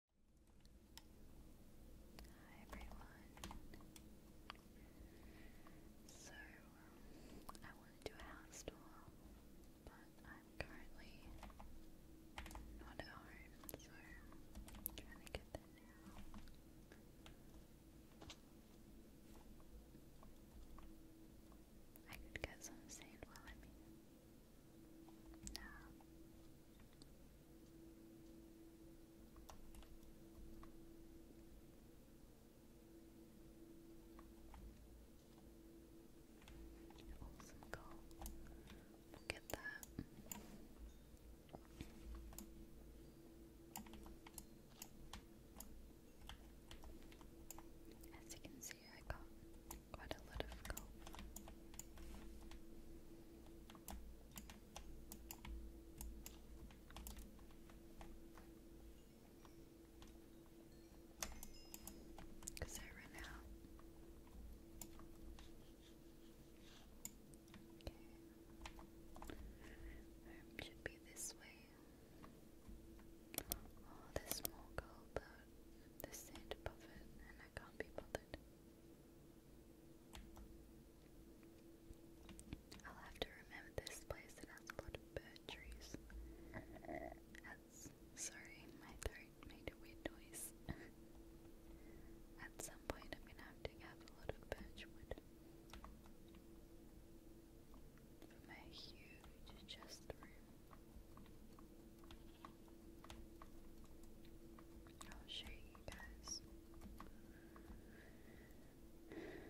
Hi everyone. So um, I want to do a house tour, but I'm currently not at home, so trying to get there now. I could get some sand while I'm here. No. Awesome goal. Look at that. As you can see, I got quite a lot of gold. Cause I run out. Okay. Room should be this way. Oh, there's more but there's sand above it, and I can't be bothered. I'll have to remember this place that has a lot of bird trees. sorry, my throat made a weird noise. At some point I'm gonna have to have a lot of birchwood. From a huge chest room. I'll show you guys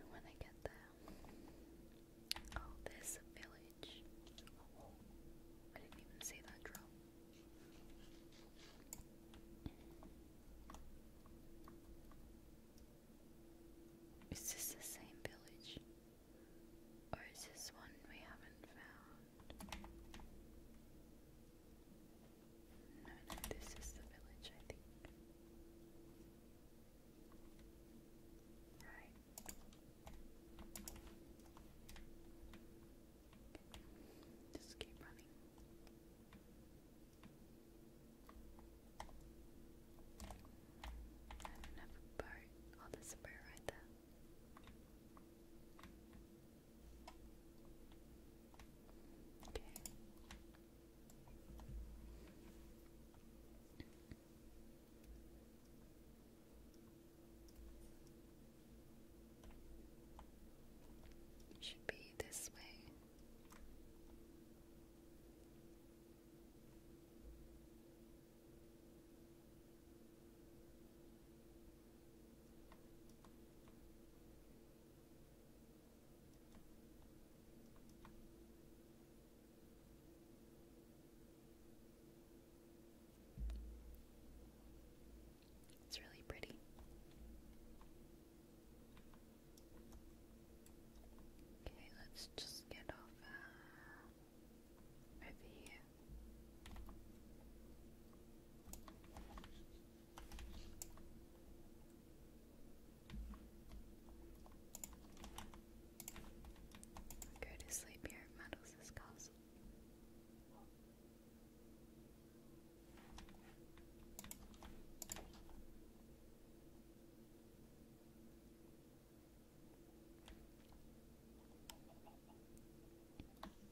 when I get there. Oh, there's village. I didn't even see that drop. Is this the same village? Or is this one we haven't found? No, no, this is the village, I think. Right. Just keep running. I don't have a oh, right there. Okay. Should be this way. Okay. It's really pretty. Okay, let's just get off uh, over here. Go to sleep here at Meadows'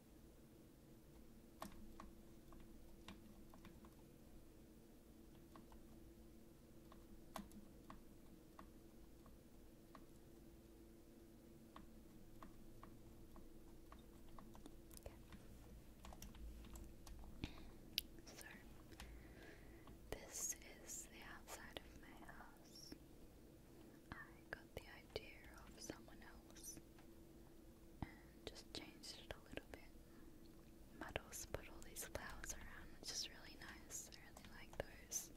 So, this is the outside of my house. I got the idea of someone else and just changed it a little bit. Muddles put all these flowers around, which is really nice. I really like those.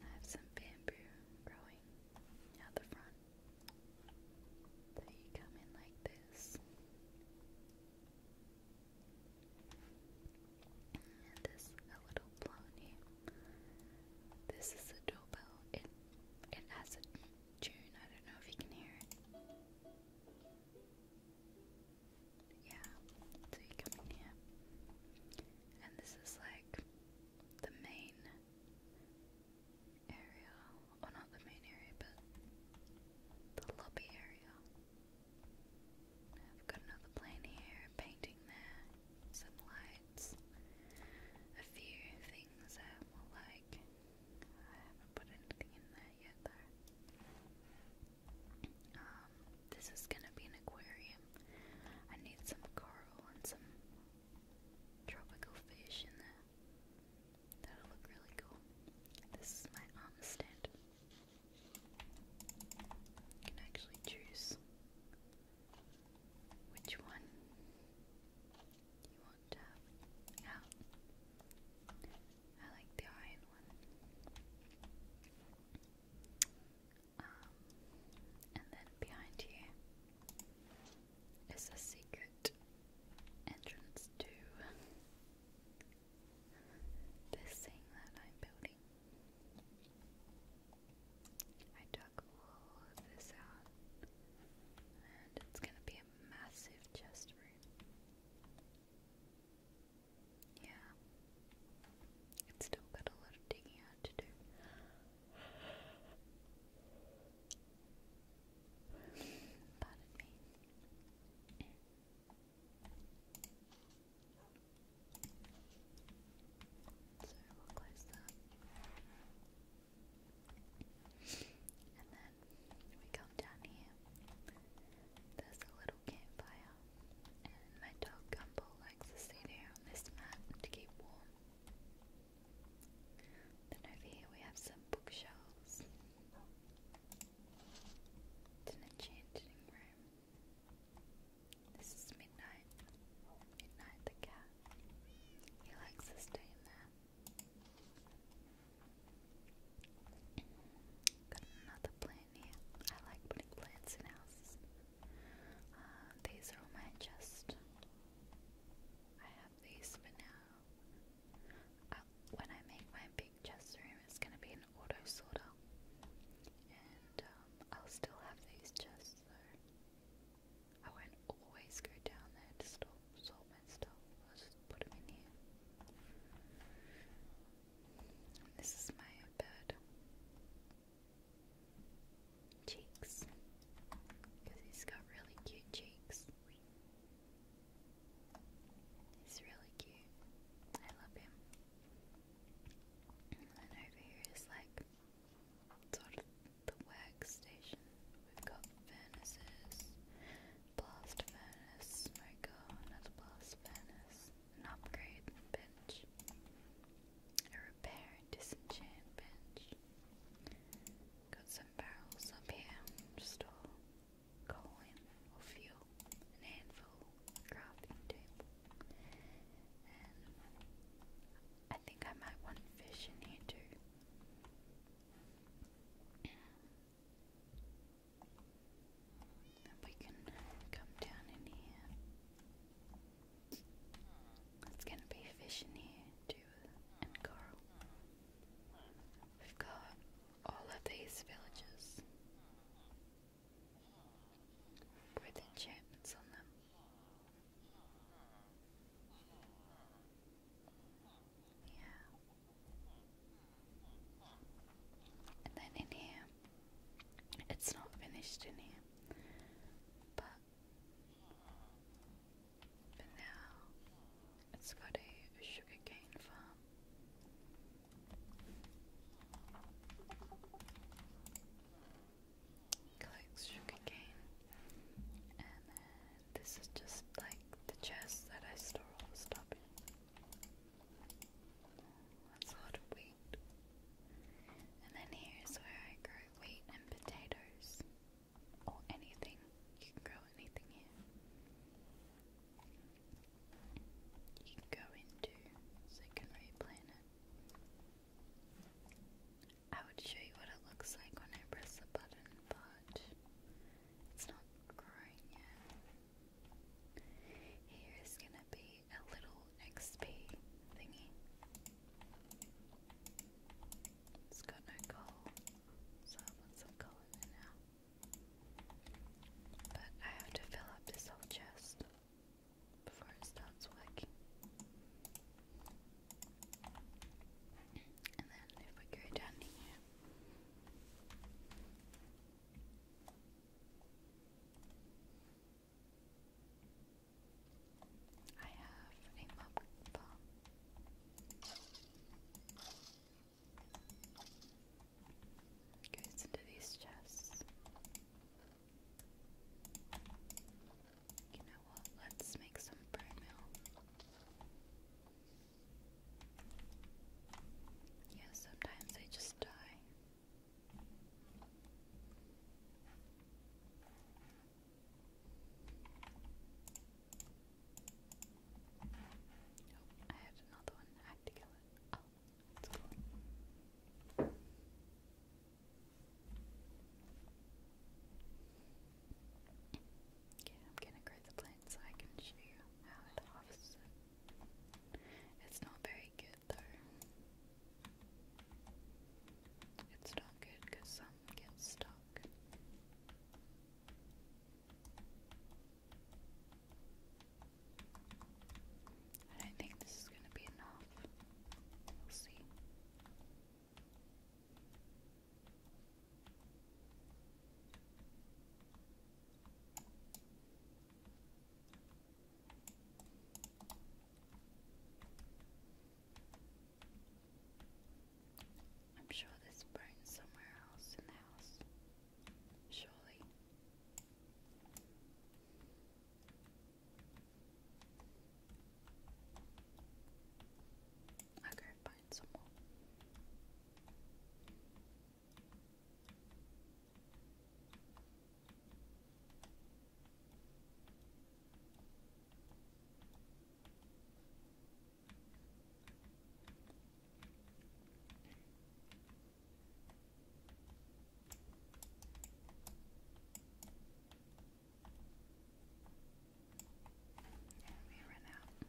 I have some bamboo growing out the front. So you come in like this. And there's a little plant here. This is a doorbell. It it has a June, I don't know if you can hear it. Yeah, so you come in here. And this is like the main area. Or not the main area, but the lobby area. I've got another plane here, painting there, some lights, a few things that were like I haven't put anything in there yet um, though. this is gonna be an aquarium. I need some coral and some tropical fish in there. That'll look really cool. This is my armor stand. can actually choose which one you won't have out. I like the iron one. Um, and then behind here is a secret entrance to this thing that I'm building. I dug all this out, and it's gonna be be a massive chest room. Yeah. It's still got a lot of digging to do. So we'll close that. And then we come down here. There's a little campfire, and my dog Gumbo likes to stay there on this mat to keep warm. Then over here we have some bookshelves. an enchanting room. This is Midnight. Midnight the cat. He likes to stay in there. Got another plant here. I like putting plants in houses. Uh, these are my chest. I have these for now. Uh, when I make my big chest room, it's going to be an auto sorter. And um, I'll still have these chests though. I won't always go down there to store sort my stuff. i put them in here. this is my bird. Cheeks. Because he's got really cute cheeks. He's really cute. I love him. And over here is like sort of the workstation. We've got furnaces, Blast furnace, smoker, not a blast furnace. An upgrade bench. A repair and disenchant bench. Got some barrels up here. Just coal or fuel. An anvil, crafting table. And I think I might want fish in here too we can come down in here. It's gonna be fish in here too, and coral. We've got all of these villages with enchantments on them. Yeah. And then in here, it's not finished in here, but for now, it's got a sugarcane farm. Collects sugarcane and this is just like the chest that I store all the stuff in. That's a lot of wheat. And then here's where I grow wheat and potatoes. Or anything. You can grow anything here. You can go into so you I would show you what it looks like when I press the button, but it's not growing yet. Here is gonna be a little XP thingy. It's got no coal, so I want some coal in there now. But I have to fill up this whole chest before it starts working. And then if we go down here, I have a mop bomb. Goes into these chests. You know what? Let's make some brew mill. Yeah, sometimes I just die. Oh, I had another one. to kill oh, Okay, I'm gonna grow the plant so I can show you how it harvests It's not very good though. It's not good because some get stuck. I don't think this is gonna be enough. We'll see. I'm sure this burns somewhere else in the house. Surely. Okay, fine find someone. And we ran out.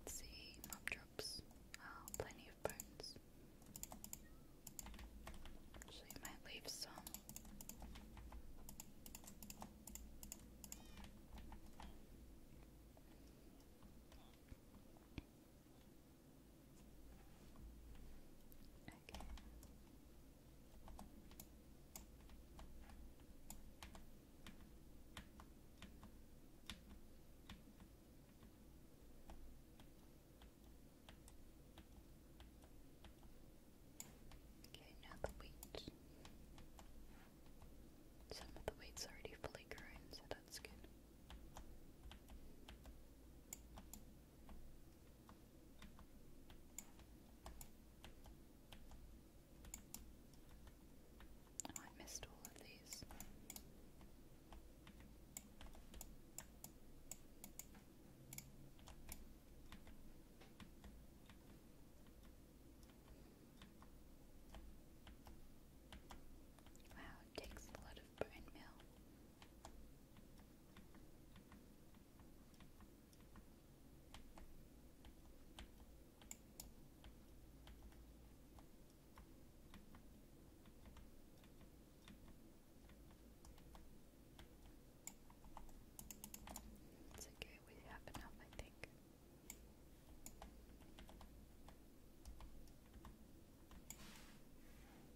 Let's see, mob drops. Oh, plenty of bones. Actually, might leave some. Okay. Okay, now the wheat. Some of the wheat's already fully grown, so that's good. Oh, I missed all of these. Wow, takes a lot of brain meal. It's okay, we have enough, I think.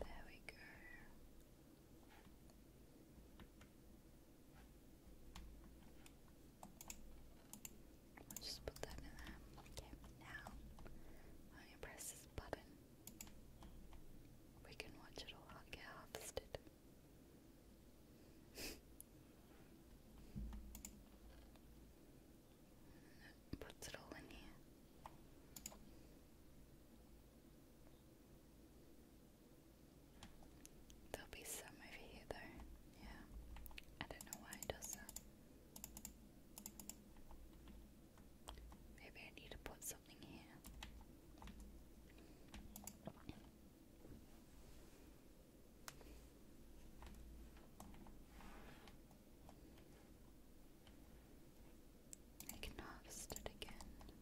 There we go. just put that in there. Okay, now when you press this button, we can watch it all get harvested. puts it all in here. There'll be some over here though. Yeah. I don't know why it does that. Maybe I need to put something here. I can harvest it again. Okay.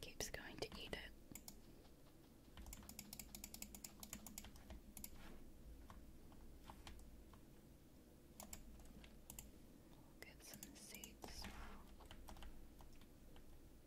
Keeps going to eat it. get some seeds. Well.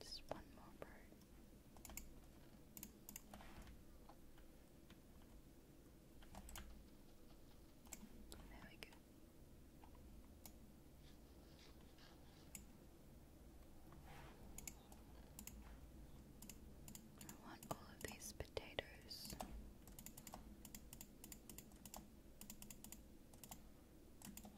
Just one more bird. There we go. I want all of these potatoes. Put them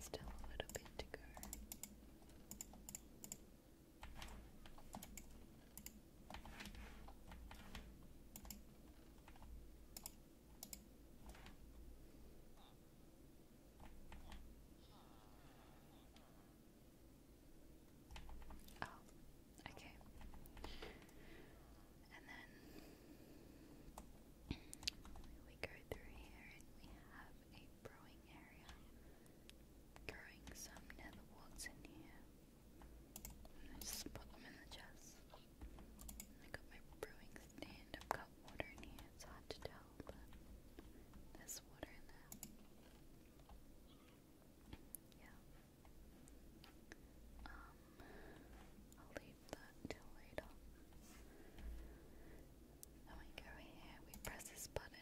Still a little bit to go. Oh, okay. And then we go through here and we have a brewing area. Growing some netherworts in here. I just put them in the chest. I got my brewing stand. I've got water in here. It's hard to tell, but there's water in there. Yeah. Um, I'll leave that till later. Then we go here, we press this button.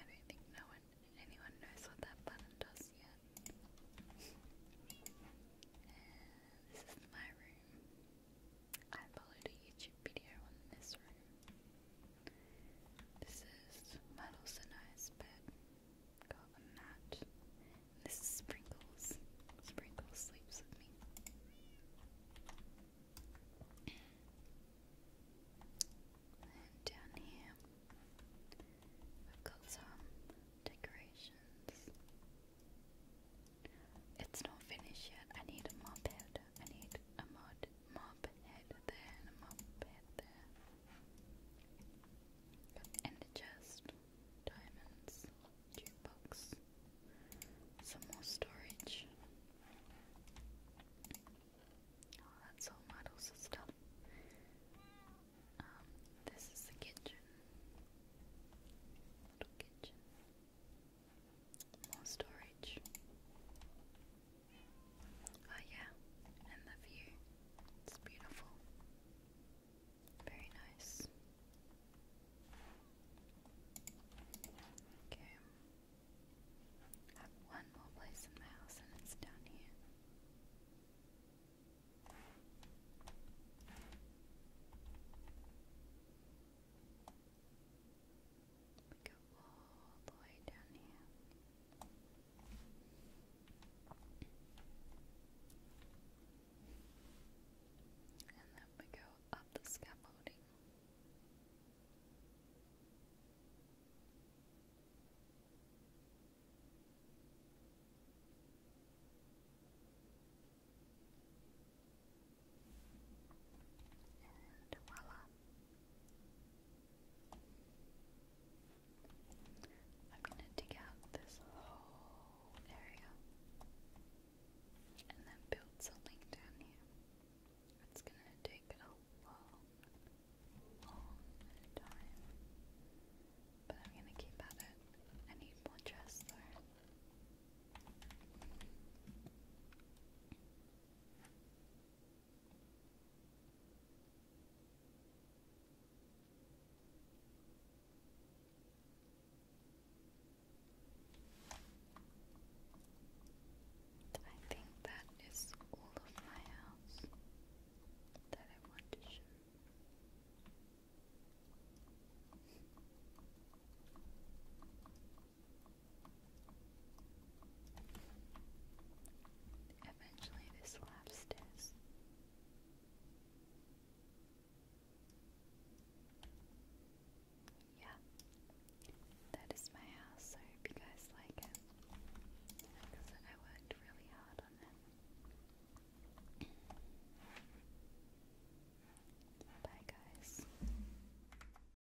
I don't think no one, anyone knows what that button does yet. And this is my room. I uploaded a YouTube video on this room. This is my bed. Got mat. this is Sprinkles. Sprinkles sleeps with me. And down here, I've got some decorations. It's not finished yet. I need a mod head. I need a mod mop head there and head there. And a chest, diamonds, jukebox, some more storage. Oh, that's all models of stuff. Um, this is the kitchen. Little kitchen. More storage. Oh yeah, and the view. It's beautiful. Very nice. Okay. one more place in the house and it's down here. We go And then we go up the scaffolding. And voila. I'm going to dig out this whole area and then build something down here. It's going to take a long, long time, but I'm going to keep at it. I need more chests though. I think that is all of my house that I want to show. Eventually, this lapsed Yeah, that is my house. I hope you guys like it I worked really hard on it. Bye, guys.